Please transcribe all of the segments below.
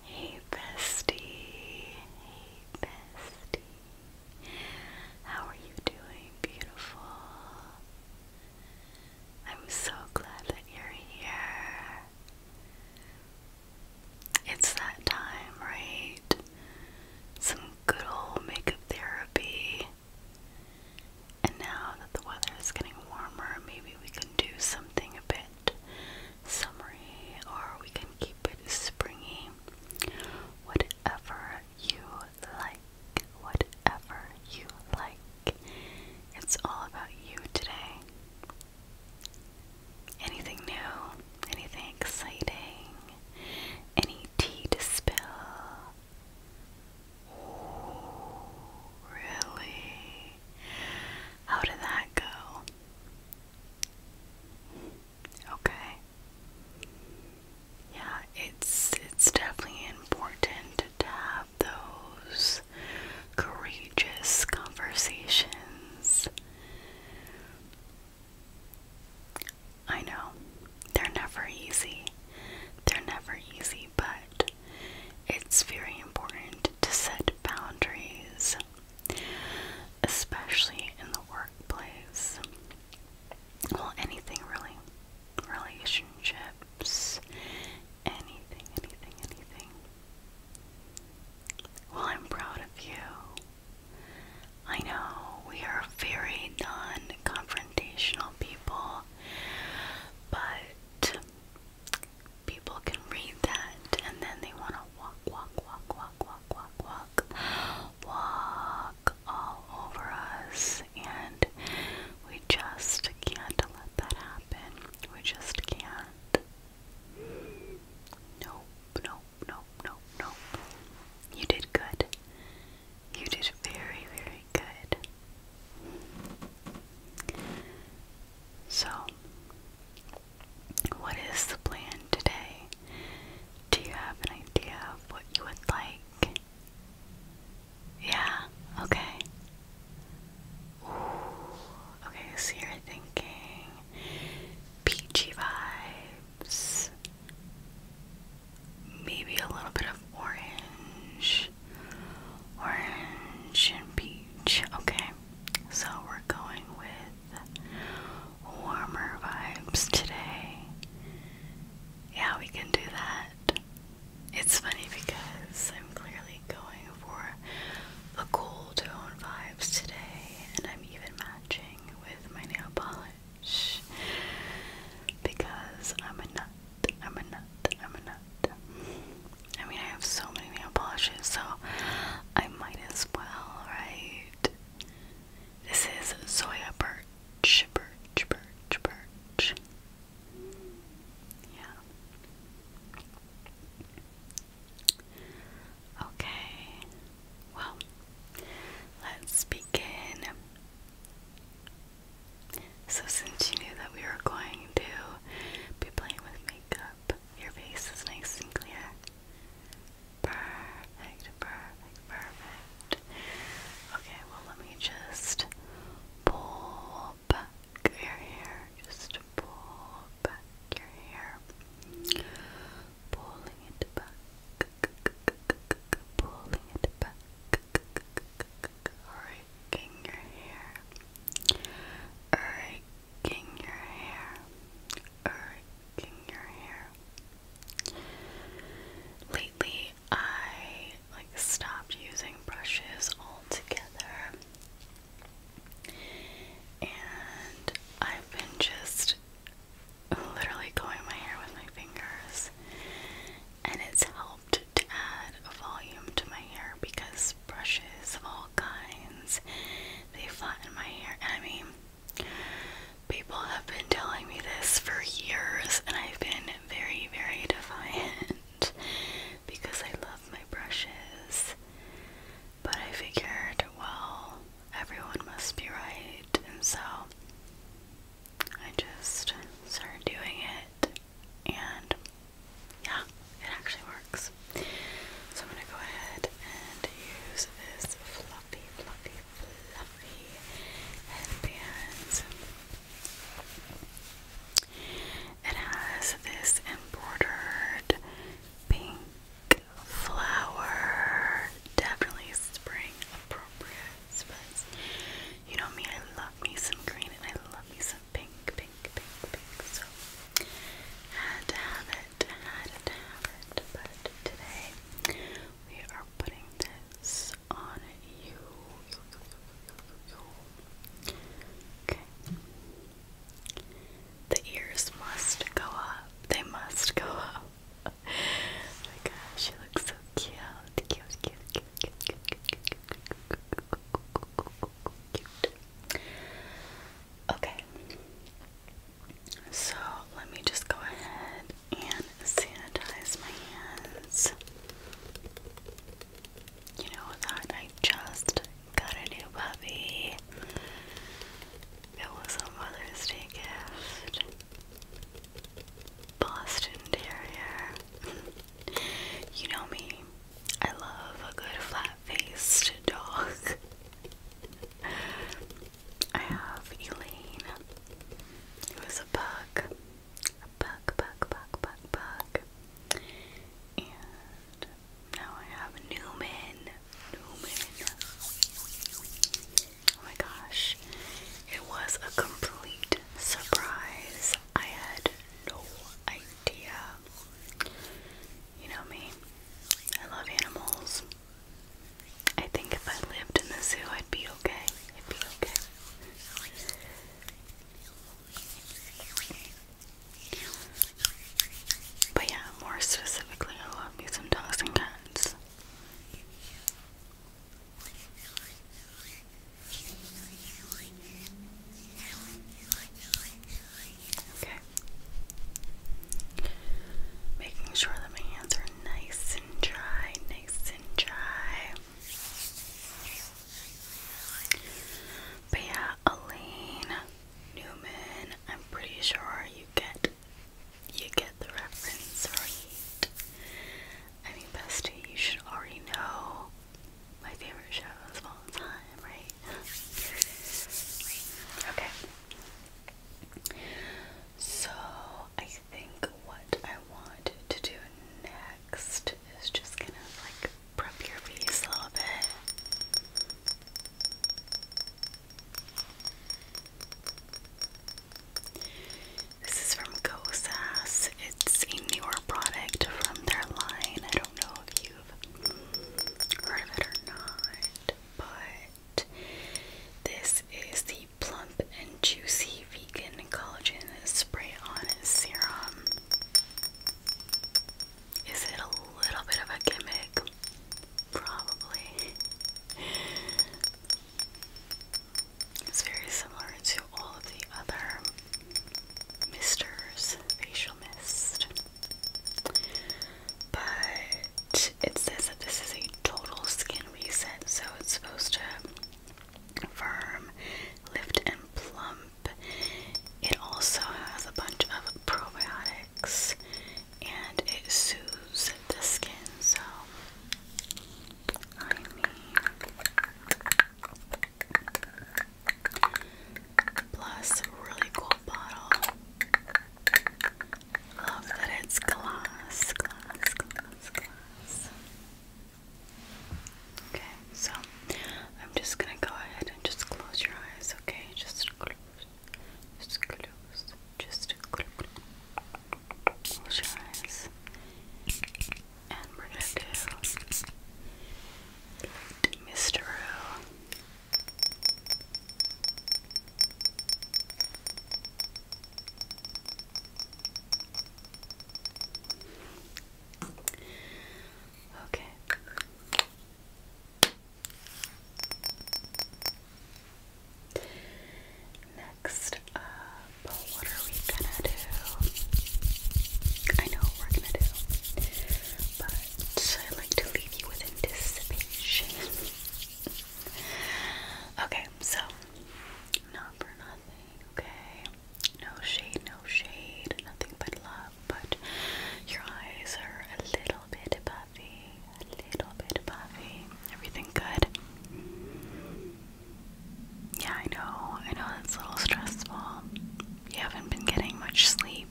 Hey bestie, hey bestie. How are you doing, beautiful? I'm so glad that you're here. It's that time, right? Some good old makeup therapy. And now that the weather is getting warmer, maybe we can do something a bit summery, or we can keep it springy. Whatever you like, whatever you like. It's all about you today. Anything new, anything exciting, any tea to spill. really? How did that go? Okay. Yeah, it's it's definitely important to have those courageous conversations. I know they're never easy. They're never easy, but it's very important to set boundaries especially in the workplace. Well, anything really. Relationships, anything, anything, anything. Well, I'm proud of you. I know we are very non confrontational people, but people can read that and then they want to walk, walk, walk, walk, walk, walk, walk, walk all over us, and we just can't let that happen. We just can't. Nope, nope, nope, nope, nope. You did good. You did very, very good. So, what is the plan today? Do you have an idea of what you would like? Yeah, okay. okay, so you're thinking peachy vibes, maybe a little bit of orange, orange and peach. Okay, so we're going with warmer vibes today. Yeah, we can do that. It's funny because I'm clearly going for the cool tone vibes today, and I'm even matching with my nail polish because I'm a nut. I'm a nut. I'm a nut. I mean, I have so many nail polishes, so I might as well, right? This is Zoya Birch, Birch, Birch, Birch. Yeah. Okay. Well, let's begin. So, since you knew that we were going to be playing with makeup, your face is nice and clear. Perfect, perfect, perfect. Okay, well, let me just pull back your hair. Just pull back your hair. Pulling it back. Pulling it back. Raking your hair. Raking King your hair, or er, king your hair. Lately, I like stopped using brushes altogether, and I've been just literally going my hair with my fingers, and it's helped to add volume to my hair because brushes, of all kinds. They flatten my hair. I mean, people have been telling me this for years, and I've been very, very defiant because I love my brushes. But I figured, well, everyone must be right, and so I just started doing it, and yeah, it actually works. So I'm going to go ahead and use this fluffy, fluffy, fluffy headband. It has this embroidered pink flower, definitely spring appropriate. you know me, I love me some green and I love me some pink, pink, pink, pink. So had to have it, had to have it. But today we are putting this on you. Okay. The ears must go up. They must go up. my gosh, she looks so cute. Cute, cute, cute, cute, cute, cute, cute, cute, cute, cute, cute, cute. Okay. So let me just go ahead and sanitize my hands. You know that I just got a new puppy. It was a Mother's Day gift. Boston Terrier. you know me. I love a good flat faced dog. I have Elaine, who is a bug. A bug, bug, bug, bug, bug. And now I have Newman. Newman. Oh my gosh. It was a complete surprise. I had no idea you know me. I love animals. I think if I lived in the zoo, I'd be okay. I'd be okay. But yeah, more specifically, I love me some dogs and cats. Okay. Making sure that my hands are nice and dry, nice and dry. But yeah, Elaine Newman, I'm pretty sure you get you get the reference right. I mean bestie, you should already know my favorite shows of all time, right? Okay. So I think what I want to do next is just kind of like prep your face a little bit. This is from Go It's a newer product from their line. I don't know if you have heard of it or not, but this is the Plump and Juicy Vegan Collagen Spray On Serum. Is it a little bit of a gimmick? Probably. It's very similar to all of the other misters, facial mist. But it says that this is a total skin reset, so it's supposed to firm, lift, and plump. It also has a bunch of probiotics and it soothes the skin, so I mean Plus, really cool bottle. Love that it's glass, glass, glass, glass. Okay, so I'm just gonna go ahead and just close your eyes, okay? Just close, just close, just close, close your eyes. And we're gonna do Mr. Okay. Next up, what are we gonna do? I know we're gonna do but I like to leave you with anticipation. okay, so not for nothing, okay? No shade, no shade, nothing but love, but your eyes are a little bit puffy, a little bit puffy. Everything good? Yeah, I know, I know that's a little stressful. You haven't been getting much sleep.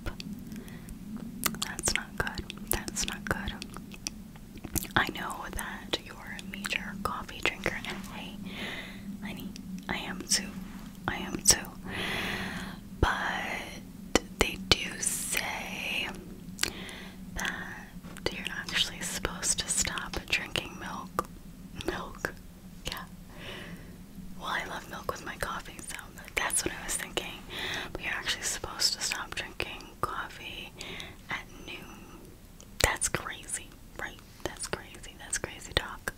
That's not good. That's not good. I know that you're a major coffee drinker, and honey, I am too. I am too. But they do say that you're actually supposed to stop drinking milk. Milk, yeah. Well, I love milk with my coffee, so that's what I was thinking. We are actually supposed to stop drinking coffee at noon. That's crazy, right? That's crazy. That's crazy talk.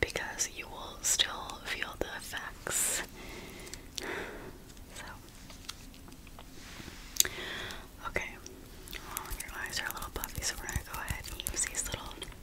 Because you will still feel the effects. So, okay. Well, your eyes are a little puffy, so we're gonna go ahead and use these little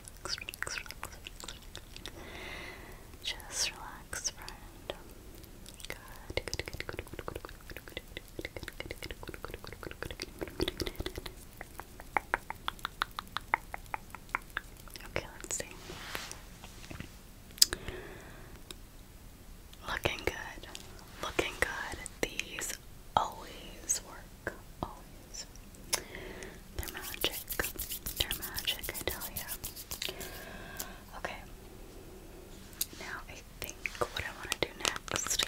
relax, relax, relax, relax. Just relax, friend. Good, good, good, good, good, good, good, good, good, good, good, good, good. Okay, let's see. Looking good. Looking good. These always work. Always they're magic. They're magic, I tell you. Okay. Now I think what I want to do next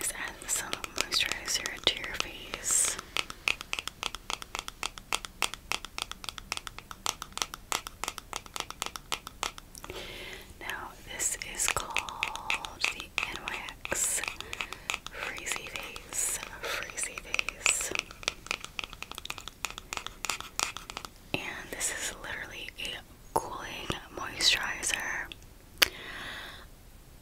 is add some moisturizer to your face. Now, this is called the NYX Freezy Face, Freezy Face. And this is literally a cooling moisturizer.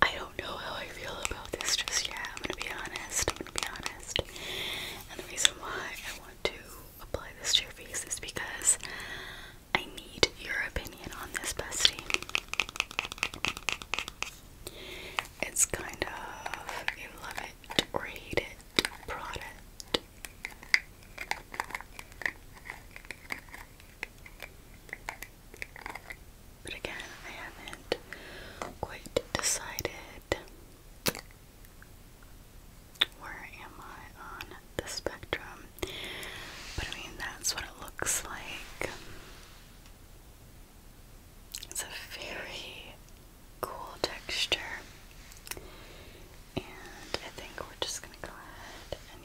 I don't know how I feel about this just yeah, I'm gonna be honest. I'm gonna be honest. And the reason why I want to apply this to your face is because I need your opinion on this, bestie. It's kind of a love or hate product. But again, I haven't quite decided where am I on the spectrum. But I mean, that's what it looks like. It's a very cool texture, and I think we're just going to go ahead and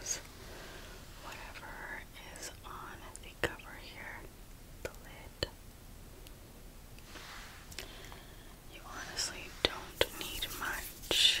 use whatever is on the cover here, the lid. You honestly don't need much.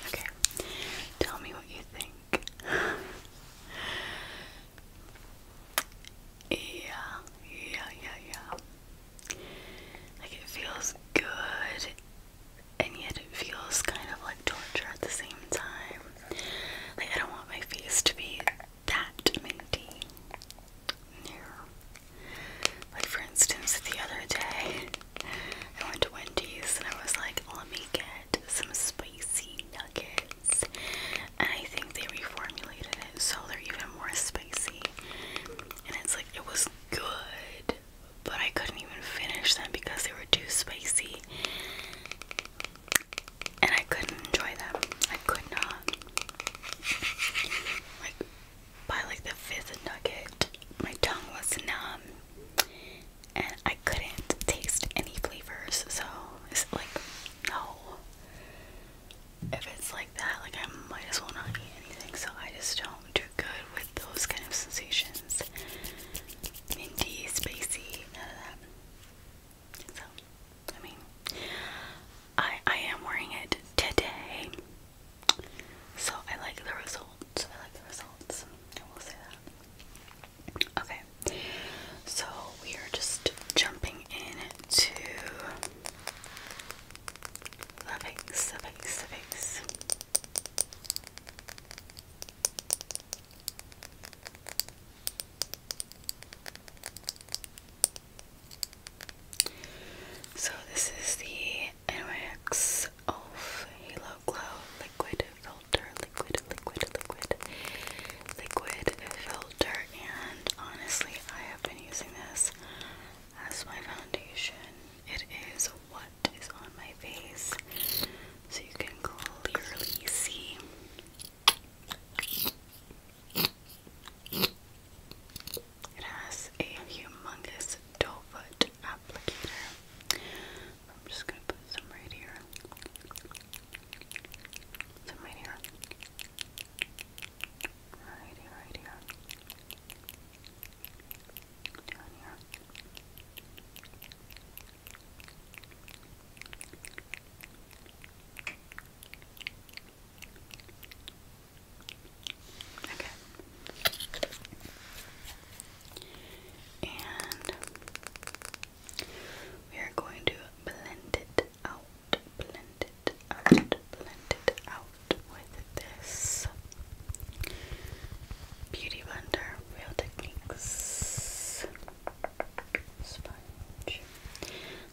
Okay, tell me what you think. yeah, yeah, yeah, yeah. Like it feels good and yet it feels kind of like torture at the same time. Like, I don't want my face to be that minty. Like, for instance, the other day, I went to Wendy's and I was like, let me get some spicy nuggets. And I think they reformulated it so they're even more spicy. And it's like, it was good, but I couldn't even finish them because they were too spicy. And I couldn't enjoy them. I could not. Like by like the fifth nugget, my tongue was numb and I couldn't taste any flavors. So it's like no. If it's like that, like I might as well not eat anything. So I just don't do good with those kind of sensations. Minty, spacey, none of that. So, I mean, I I am wearing it today. So I like the results. I like the results. I will say that. Okay. So we are just jumping into the face, the face, the face. So this is the NYX Elf Halo Glow Liquid Filter, Liquid, Liquid, Liquid, Liquid Filter, and honestly, I have been using this as my foundation. It is what that is on my face so you can clearly see. It has a humongous doe applicator. I'm just gonna put some right here. right here. Right here, right here. Okay. And we are going to blend it out, blend it out, blend it out, with this Beauty Blender Real Techniques sponge.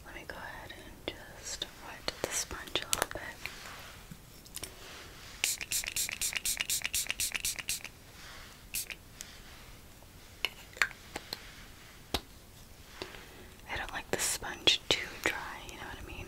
Let me go ahead and just wet the sponge a little bit. I don't like the sponge too dry, you know what I mean?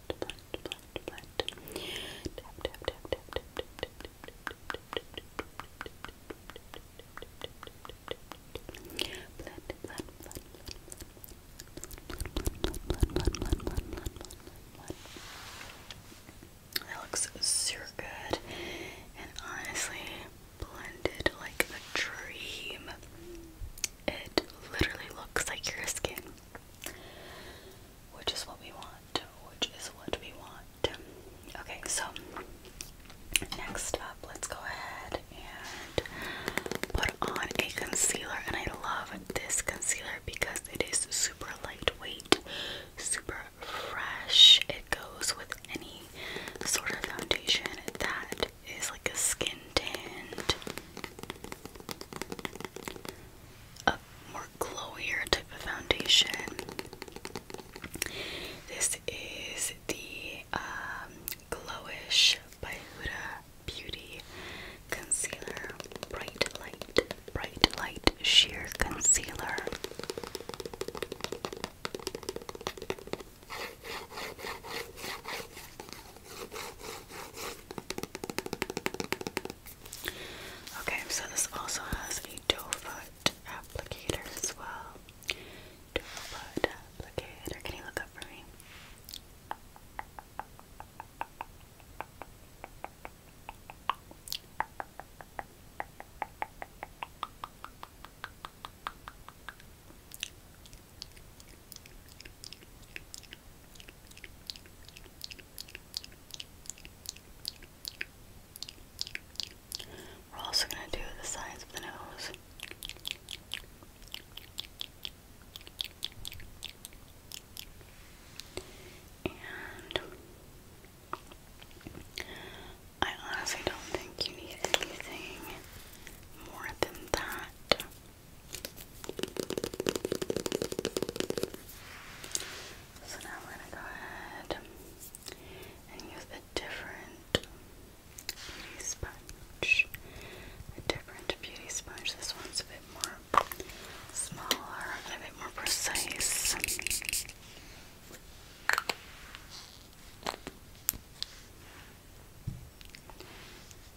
That looks super good, and honestly, blended like a dream. It literally looks like your skin which is what we want. Which is what we want. Okay, so next up, let's go ahead and put on a concealer. And I love this concealer because it is super lightweight, super fresh. It goes with any sort of foundation that is like a skin tint a more glowier type of foundation. This is the um, Glowish by Huda Beauty Concealer Bright Light, Bright Light Sheer Concealer. Okay, so this also has a doe foot applicator as well. Doe foot applicator. Can you look up for me? We're also going to do the sides of the nose. I honestly don't think you need anything more than that. So now we're going to go ahead and use a different beauty sponge. A different beauty sponge. This one's a bit more smaller, a bit more precise.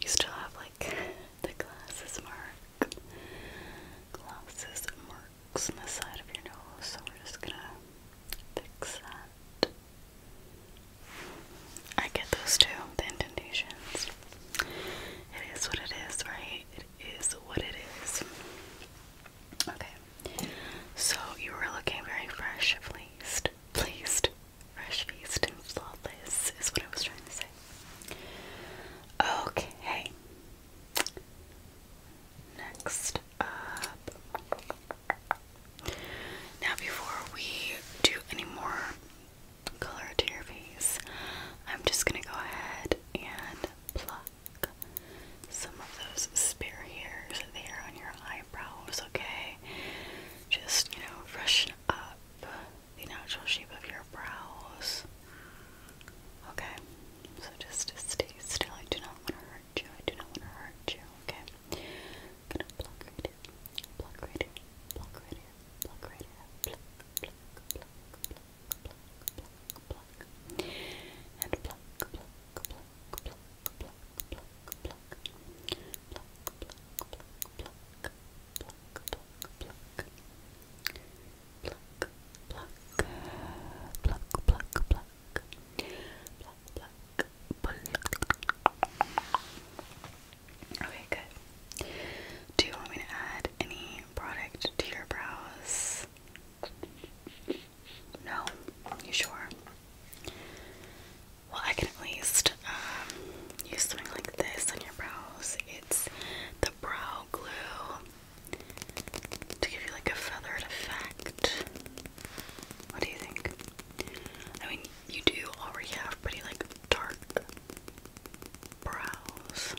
You still have like the glasses mark, glasses marks on the side of your nose. So we're just gonna fix that. I get those too, the indentations. It is what it is, right? It is what it is. Okay. So you were looking very fresh, at least. Pleased, fresh faced, and flawless is what I was trying to say. Okay. Next up. Now, before we do any more color to your face, I'm just going to go ahead and pluck some of those spare hairs there on your eyebrows, okay? Just, you know, freshen up the natural shape of your brows. Okay, so just stay still. I do not want to hurt you. I do not want to hurt you. Okay, Okay, good. Do you want me to add any product to your brows? No, you sure? Well, I can at least um, use something like this on your brows. It's the brow glue to give you like a feathered effect. What do you think? I mean, you do already have pretty like dark brows.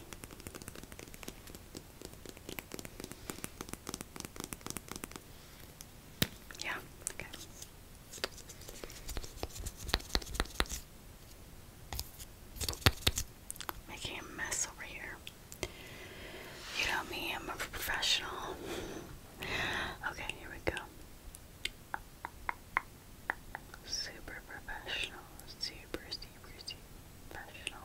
Yeah, okay. Making a mess over here. You know me, I'm a professional. okay, here we go. Super professional. Super, super, super professional.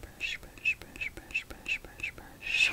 Brush, brush, brush, brush, brush, brush, brush.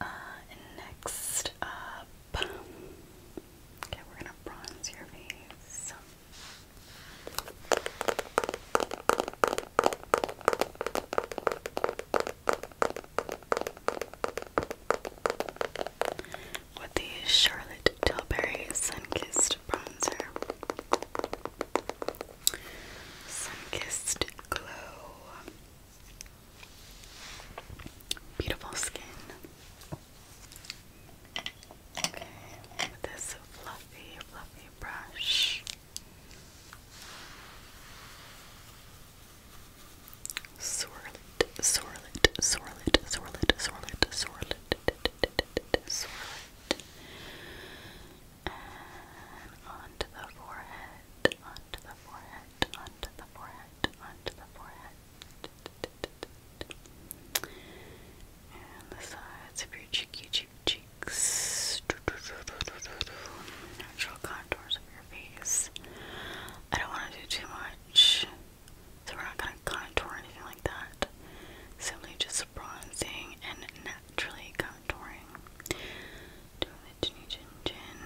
uh, next up, okay, we're gonna bronze your face. With the Charlotte Tilbury Sun Kissed Bronzer. Sun-Kissed Glow. Beautiful skin. Okay, with this fluffy, fluffy brush. Swirl it, swirl it, swirl it, swirl it, swirl it, swirl it, swirl it. And onto the forehead, onto the forehead, onto the forehead, onto the forehead. And the sides of your cheeky cheek cheeks. Natural contours of your face. I don't want to do too much, so we're not going to contour anything like that. Simply just bronzing and naturally coming contouring. Doing the chinny chin chin.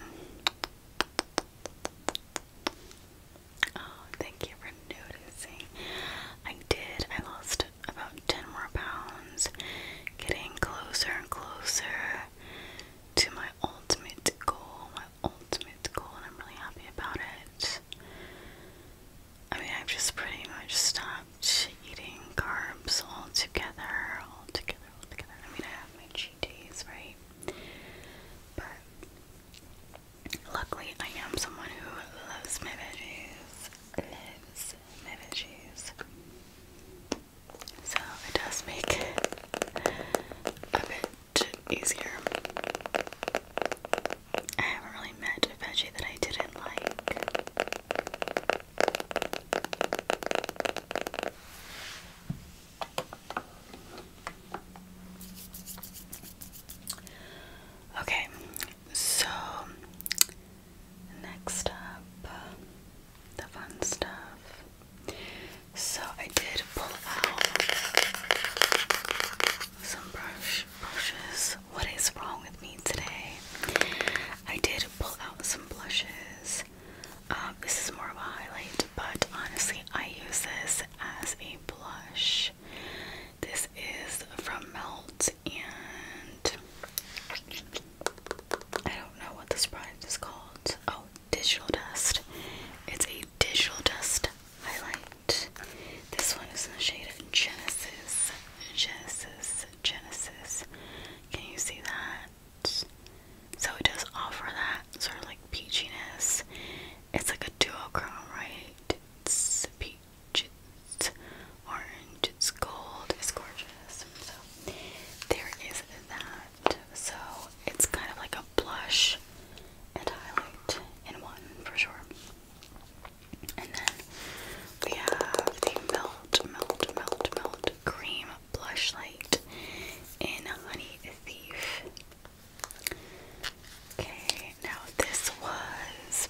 Oh, thank you for noticing. I did. I lost about 10 more pounds. Getting closer and closer to my ultimate goal. My ultimate goal, and I'm really happy about it. I mean, I've just pretty much stopped eating carbs altogether, all together. I mean, I have my cheat days, right? But luckily, I am someone who loves my veggies, loves my veggies. So it does make it a bit easier. I haven't really met a veggie that I didn't like. Okay, so next up, the fun stuff. So I did pull out some brushes. What is wrong with me today? I did pull out some blushes. Um, this is more of a highlight, but honestly, I use this as a blush. This is from Melt, and I don't know what this product is called. Oh, Digital Dust. It's a Digital Dust highlight. This one is in the shade of Genesis. Genesis Genesis. Can you see that? So it does offer that sort of like peachiness. It's like a dual duochrome, right? It's peach, it's orange, it's gold, it's gorgeous. So there is that. So it's kind of like a blush and highlight in one for sure. And then we have the Melt, Melt, Melt, Melt Cream Blush Light in Honey Thief. Okay, now this was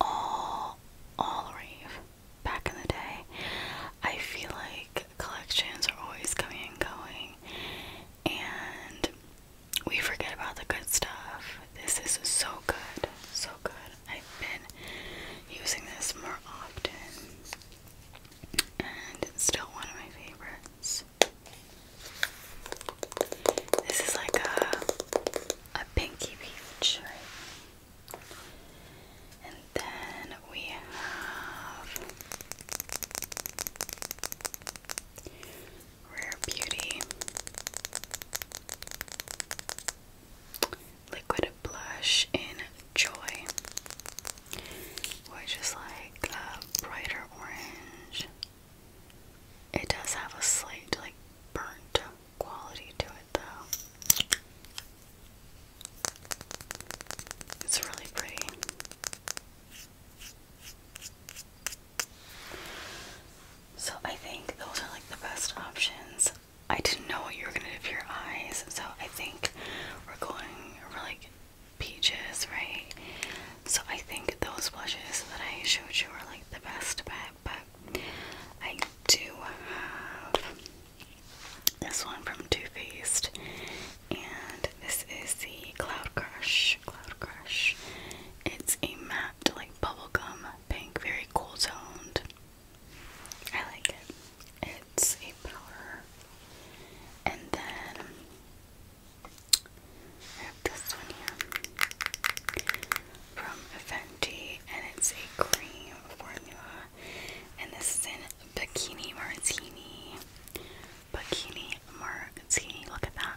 all all rave back in the day. I feel like collections are always coming and going, and we forget about the good stuff. This is so good, so good. I've been using this more often, and it's still one of my favorites. This is like a a pinky peach, right? And then we have Rare Beauty liquid blush in Joy, which is like a brighter orange. It does have a slight, like, burnt quality to it, though. It's really pretty. So I think those are like the best options. I didn't know what you were gonna do for your eyes, so I think we're going for like peaches, right? So I think those blushes that I showed you are like the best bet, but I do have this one from Too Faced, and this is the Cloud Crush. Cloud Crush. It's a matte, like bubblegum pink, very cool toned. I like it. It's a powder. And then I have this one here from Fenty, and it's a cream formula. And this is in Bikini Martini. Bikini Martini. Look at that.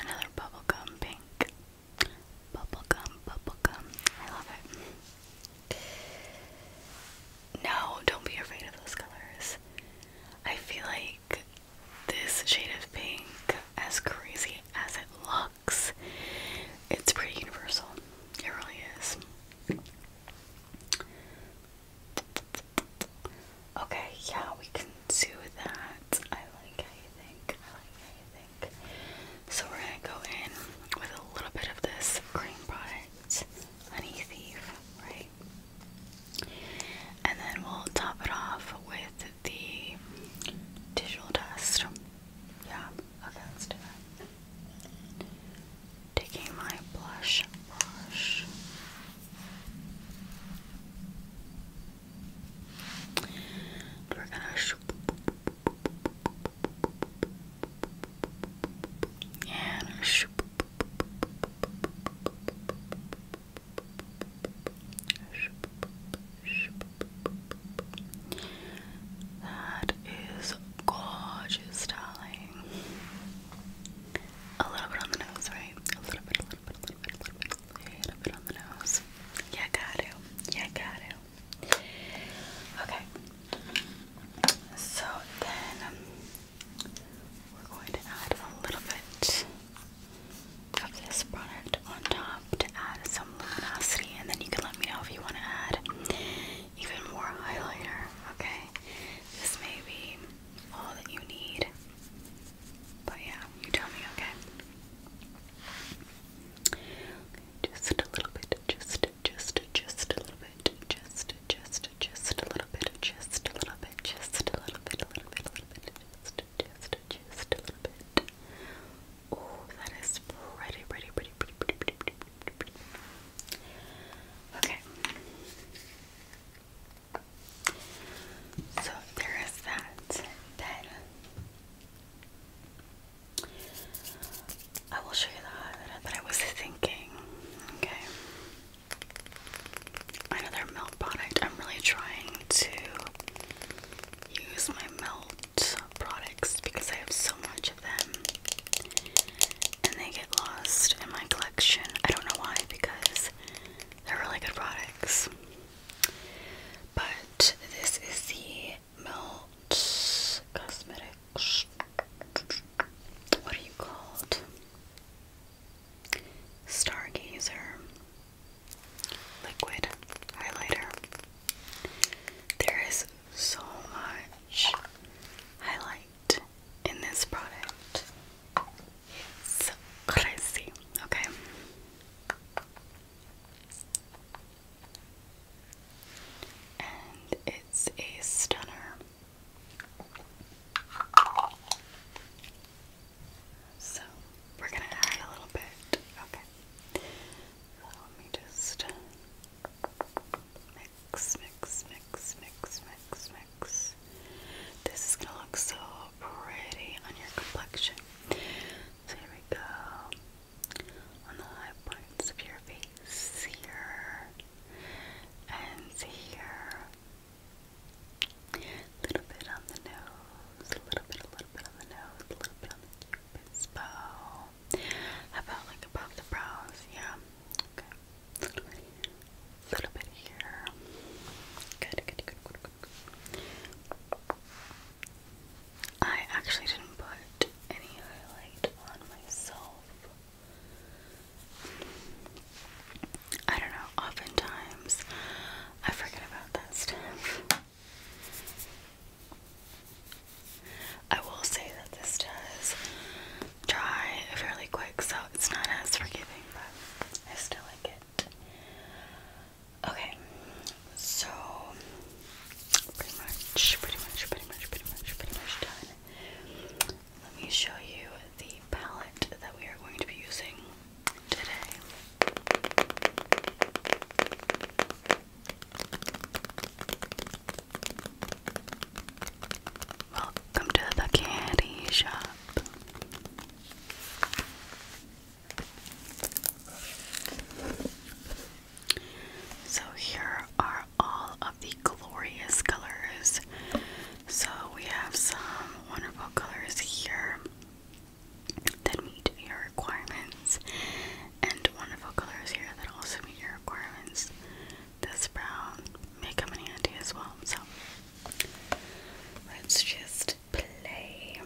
Another bubblegum pink. Bubblegum, bubblegum. I love it. No, don't be afraid of those colors. I feel like this shade of pink, as crazy as it looks, it's pretty universal. It really is. Okay, yeah, we can do that. I like how you think. I like how you think. So we're gonna go in with a little bit of this cream product, Honey Thief, right? And then we'll top it off with the digital dust. Yeah, okay, oh, let Taking my blush brush. We're gonna and that is gorgeous, darling. A little bit on the nose, right? A little bit on the nose. Yeah, got it. Yeah, got it. Okay. So then um, we're going to add a little bit of this product on top to add some luminosity, and then you can let me know if you want to add even more highlighter. Okay, this may be all that you need. But yeah, you tell me, okay? Just a little bit, just, just, just a little bit, just, just, just a little bit, just a little bit, just a little bit, a little bit, a little bit, just, just, just a little bit. Oh, that is pretty, pretty, pretty, pretty, pretty, pretty, pretty, pretty, pretty. Okay. So there is that. Then I will show you the highlighter that I was thinking. Okay. Another melt product. I'm really trying to use my melt products because I have so much of them. And they get lost in my collection. I don't know why, because they're really good products but this is the Melt Cosmetics. What are you called? Stargazer Liquid Highlighter. There is so much highlight in this product. It's crazy, okay? and it's a stunner. So we're gonna add a little bit. Okay. So let me just mix, mix, mix, mix, mix, mix. This is gonna look so pretty on your complexion. So here we go. On the high points of your face here and here. A little bit on the nose, a little bit, a little bit on the nose, a little bit on the cupid's about like above the brows? Yeah. Okay. A little bit here. Good, good, good, good, good. good. I actually didn't put any highlight on myself. I don't know, oftentimes I forget about that stuff. I will say that this does dry fairly quick, so it's not as forgiving, but I still like it. Okay, so pretty much, pretty much, pretty much, pretty much, pretty much done. Let me show you the palette that we are going to be using today. Welcome to the candy shop. So here are all of the glorious colors. So we have some wonderful colors here that meet your requirements, and wonderful colors here that also meet your requirements. This brown may come in handy as well. So let's just play.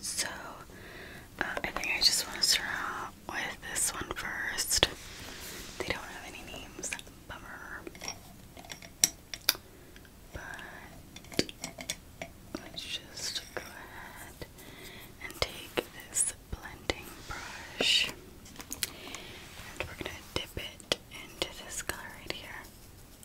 So, uh, I think I just want to start out with this one first. They don't have any names, bummer. But let's just go ahead and take this blending brush and we're gonna dip it into this color right here.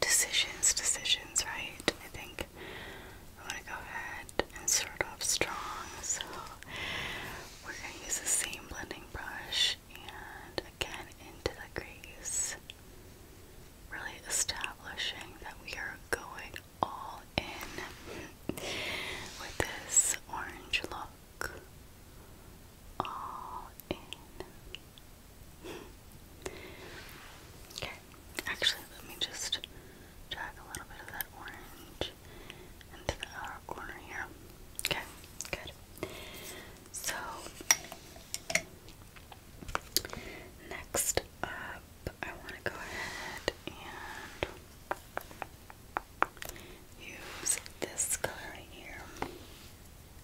Decisions, decisions, right? I think I want to go ahead and start off strong, so we're going to use the same blending brush and again into the crease, really establishing that we are going all in with this orange look. All in okay, actually, let me just drag a little bit of that orange into the outer corner here. Okay, good. So, next up, I want to go ahead and use this color here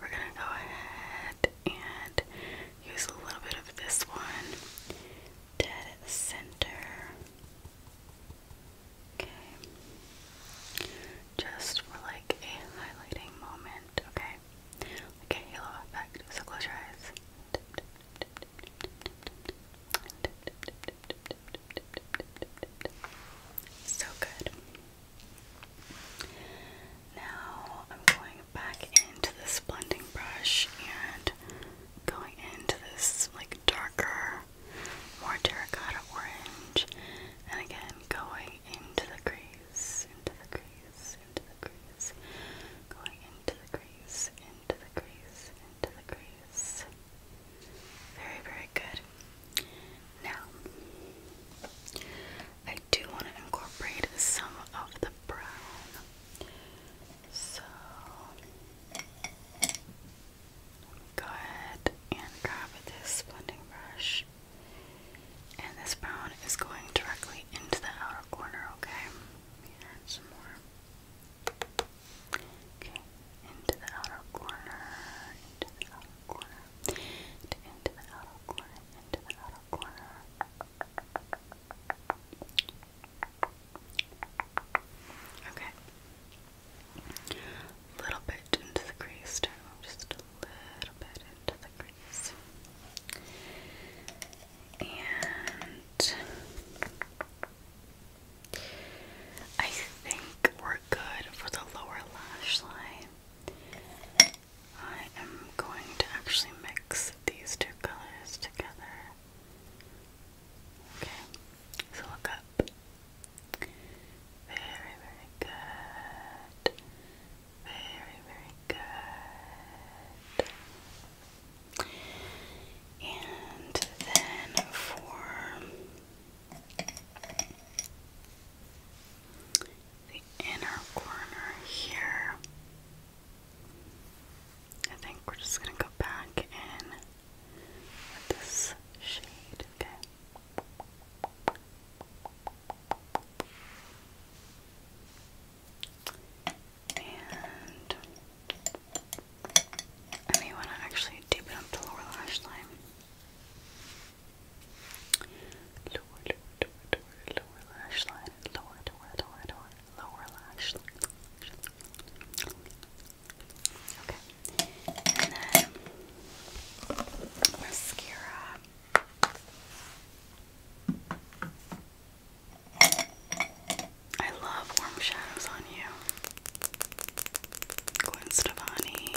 we're gonna go ahead and use a little bit of this one dead center. Okay. Just for like a highlighting moment, okay? Like halo effect. So close your eyes. So good. Now I'm going back into this blending brush and going into this like darker, more terracotta orange, and again going into the crease, into the crease, into the crease, going into the crease, into the crease, into the crease. Into the crease. Very, very good. Now, I do want to incorporate some of the brown. So, let me go ahead and grab this blending brush. And this brown is going directly into the outer corner, okay? Let me add some more. Okay, into the outer corner, into the outer corner into the outer corner, into the outer corner. Okay. A little bit into the crease too, just a little bit into the crease. And I I think we're good for the lower lash line. I am going to actually mix these two colors together. Okay, so look up. Very, very good. Very, very good. And then for the inner corner here. I think we're just gonna go back in with this shade, okay? And I want to actually deepen up the lower lash line. Lower, lower, lower, lower, lash line. Lower, lower, lower, lower, lower lash line. Okay. And then mascara. I love warm shadows on you. Gwen Stefani.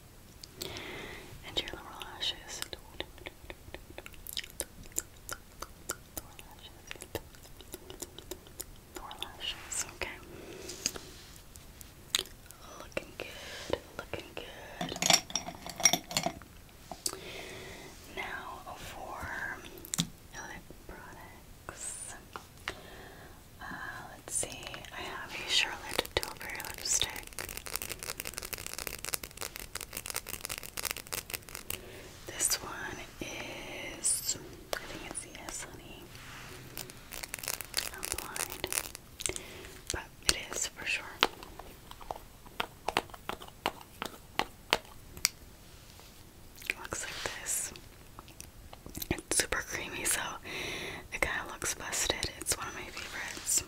and your lower lashes. Lower lashes. Lower lashes. Okay. Looking good. Looking good. Now for lip products let's see. I have a Charlotte Tilbury lipstick. This one is, I think it's Yes Honey. I'm blind, but it is for sure. It looks like this. It's super creamy, so it kind of looks busted. It's one of my favorites.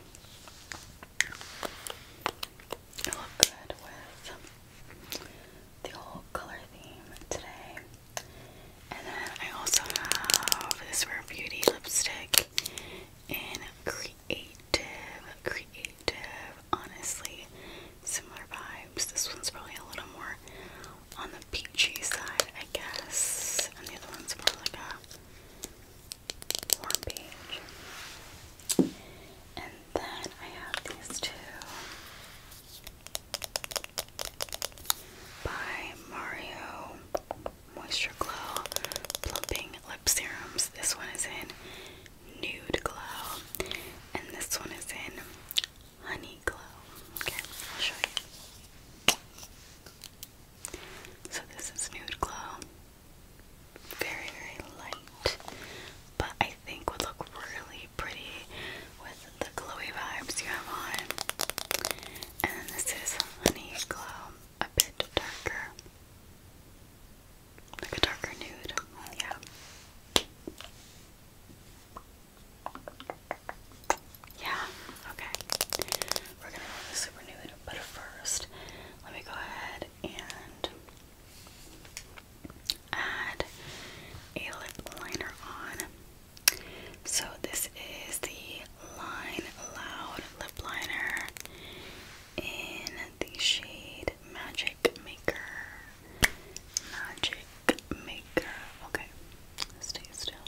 It looked good with the whole color theme today. And then I also have this Rare Beauty lipstick in Creative. Creative, honestly, similar vibes. This one's probably a little more on the peachy side, I guess. And the other one's more like a warm beige. And then I have these two by Mario Moisture Glow Plumping Lip Serums. This one is in Nude Glow, and this one is in Honey Glow. Okay, I'll show you. So this is Nude Glow. Very, very light, but I think would look really pretty with the glowy vibes you have on. And this is Honey Glow, a bit darker. Like a darker nude, yeah. Yeah, okay. We're gonna go super nude, but first, let me go ahead and add a lip liner on. So this is the Line Loud lip liner in the shade Magic Maker. Magic Maker. Okay, stay still.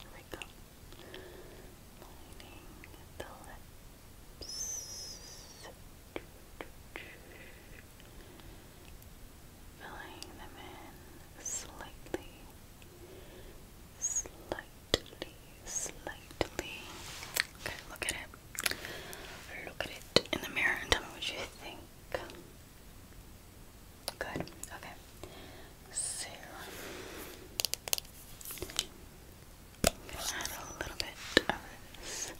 Here we go lining the lips, filling them in slightly, slightly, slightly. Okay, look at it. Look at it in the mirror and tell me what you think. Good. Okay. So I'm gonna add a little bit of this.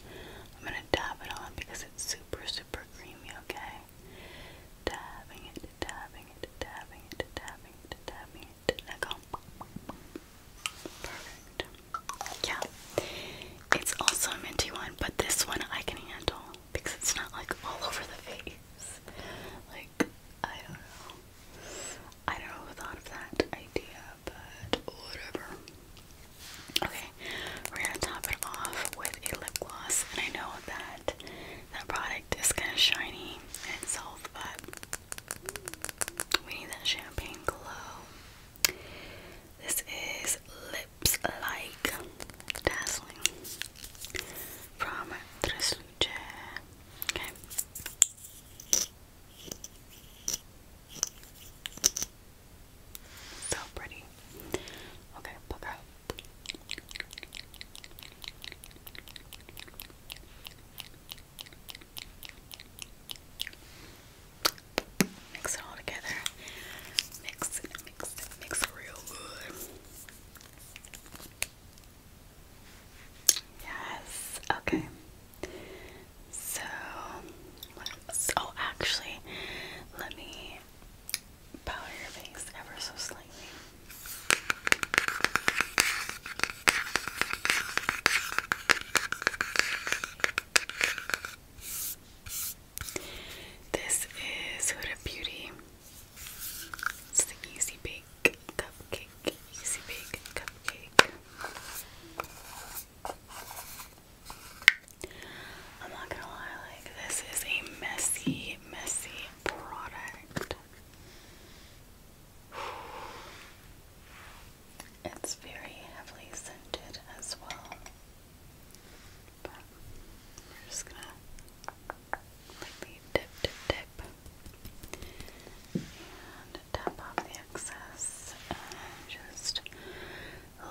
I'm gonna dab it on because it's super, super creamy. Okay. Dabbing it, dabbing it, dabbing it, dabbing it, dabbing go. Perfect. Yeah. It's also a minty one, but this one I can handle because it's not like all over the face. Like I don't know. I don't know who thought of that idea, but whatever. Okay, we're gonna top it off with a lip gloss, and I know that that product is kind of shiny itself, but we need that champagne glow. This is Lips Like Dazzling from Tres Okay. So pretty. Okay, look out. Mix it all together. Mix it, mix it, mix it real good. Yes, okay. So, Oh, actually, let me powder your face ever so slightly. This is Huda Beauty it's the Easy Bake Cupcake. Easy Bake Cupcake. I'm not gonna lie, like, this is a messy, messy product. It's very heavily scented as well. just gonna lightly dip, dip, dip, and tap off the excess, and just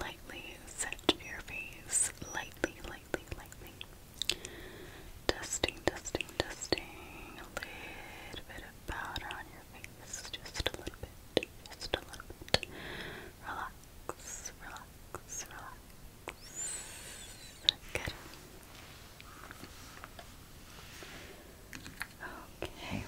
lightly set your face, lightly, lightly, lightly, dusting, dusting, dusting, a little bit of powder on your face, just a little bit, just a little bit, relax, relax, relax. Good. Okay.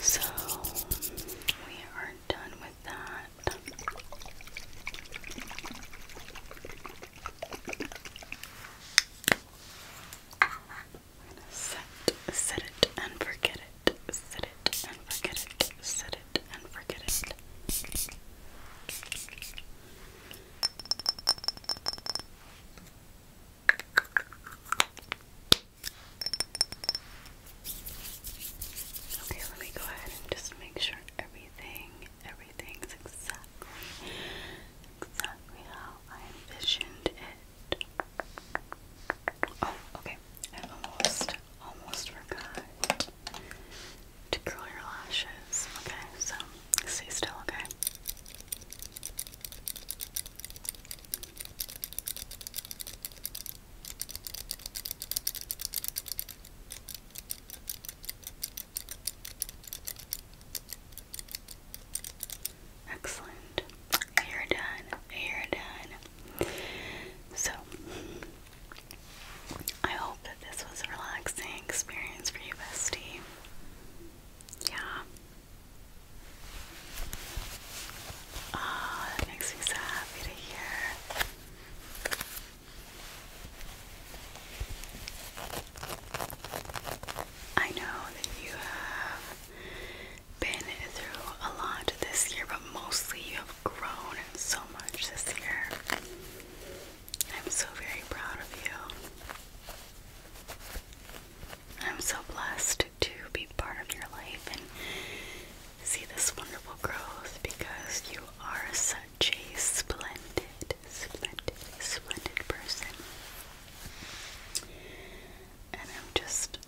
So we are done with that. We're set, set it and forget it. Set it and forget it. Set it and forget it. Okay, let me go ahead and just make sure everything everything's exactly exactly how I envisioned it. Oh, okay. I almost almost forgot to curl your lashes. Okay, so stay still, Okay, Excellent. You're done. You're done. So, I hope that this was a relaxing experience for you, bestie. Yeah. Ah, that makes me so happy to hear. I know that you have been through a lot this year, but mostly you have grown so much this year. I'm so very proud of you. I'm so blessed to be part of your life and see this wonderful growth because you are such such splendid, splendid, splendid person. And I'm just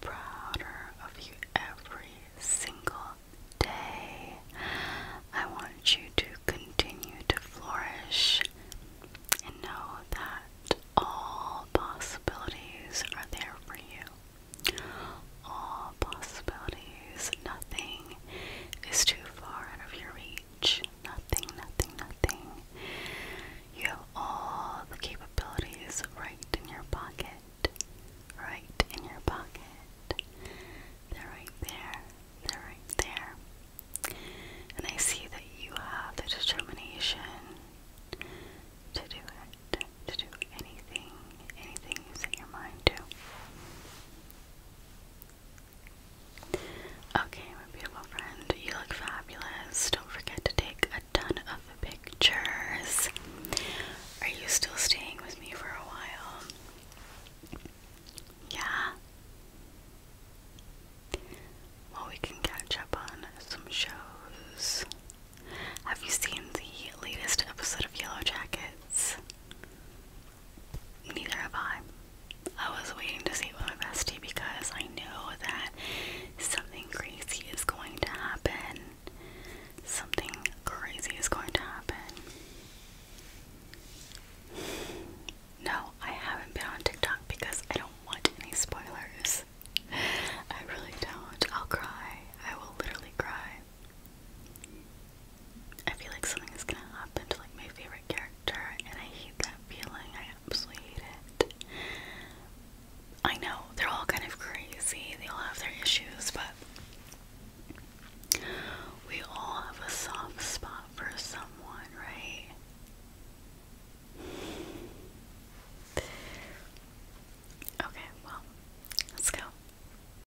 prouder of you every single day. I want you to continue to flourish and know that all possibilities are there for you. All all possibilities. Nothing is too far out of your reach. Nothing, nothing, nothing. You have all the capabilities right in your pocket. Right in your pocket. They're right there. They're right there. And I see that you have the determination to do it, to do anything, anything you set your mind to. Okay, my beautiful friend, you look fabulous. Don't forget to take a ton of pictures. Are you still staying with me for a while? Yeah. Well, we can catch up on some shows. Have you seen the latest episode of Yellow Jackets? Neither have I. I was waiting to see it my bestie because I know that something crazy is going to happen. Something crazy is going to happen. No, I haven't been on TikTok because I don't want any spoilers. I really don't. I'll cry. I will literally cry. I feel like something is gonna happen to like my favorite character, and I hate that feeling. I absolutely hate it. I know they're all kind of crazy. They all have their issues, but we all have a soft spot for someone, right? Okay, well, let's go.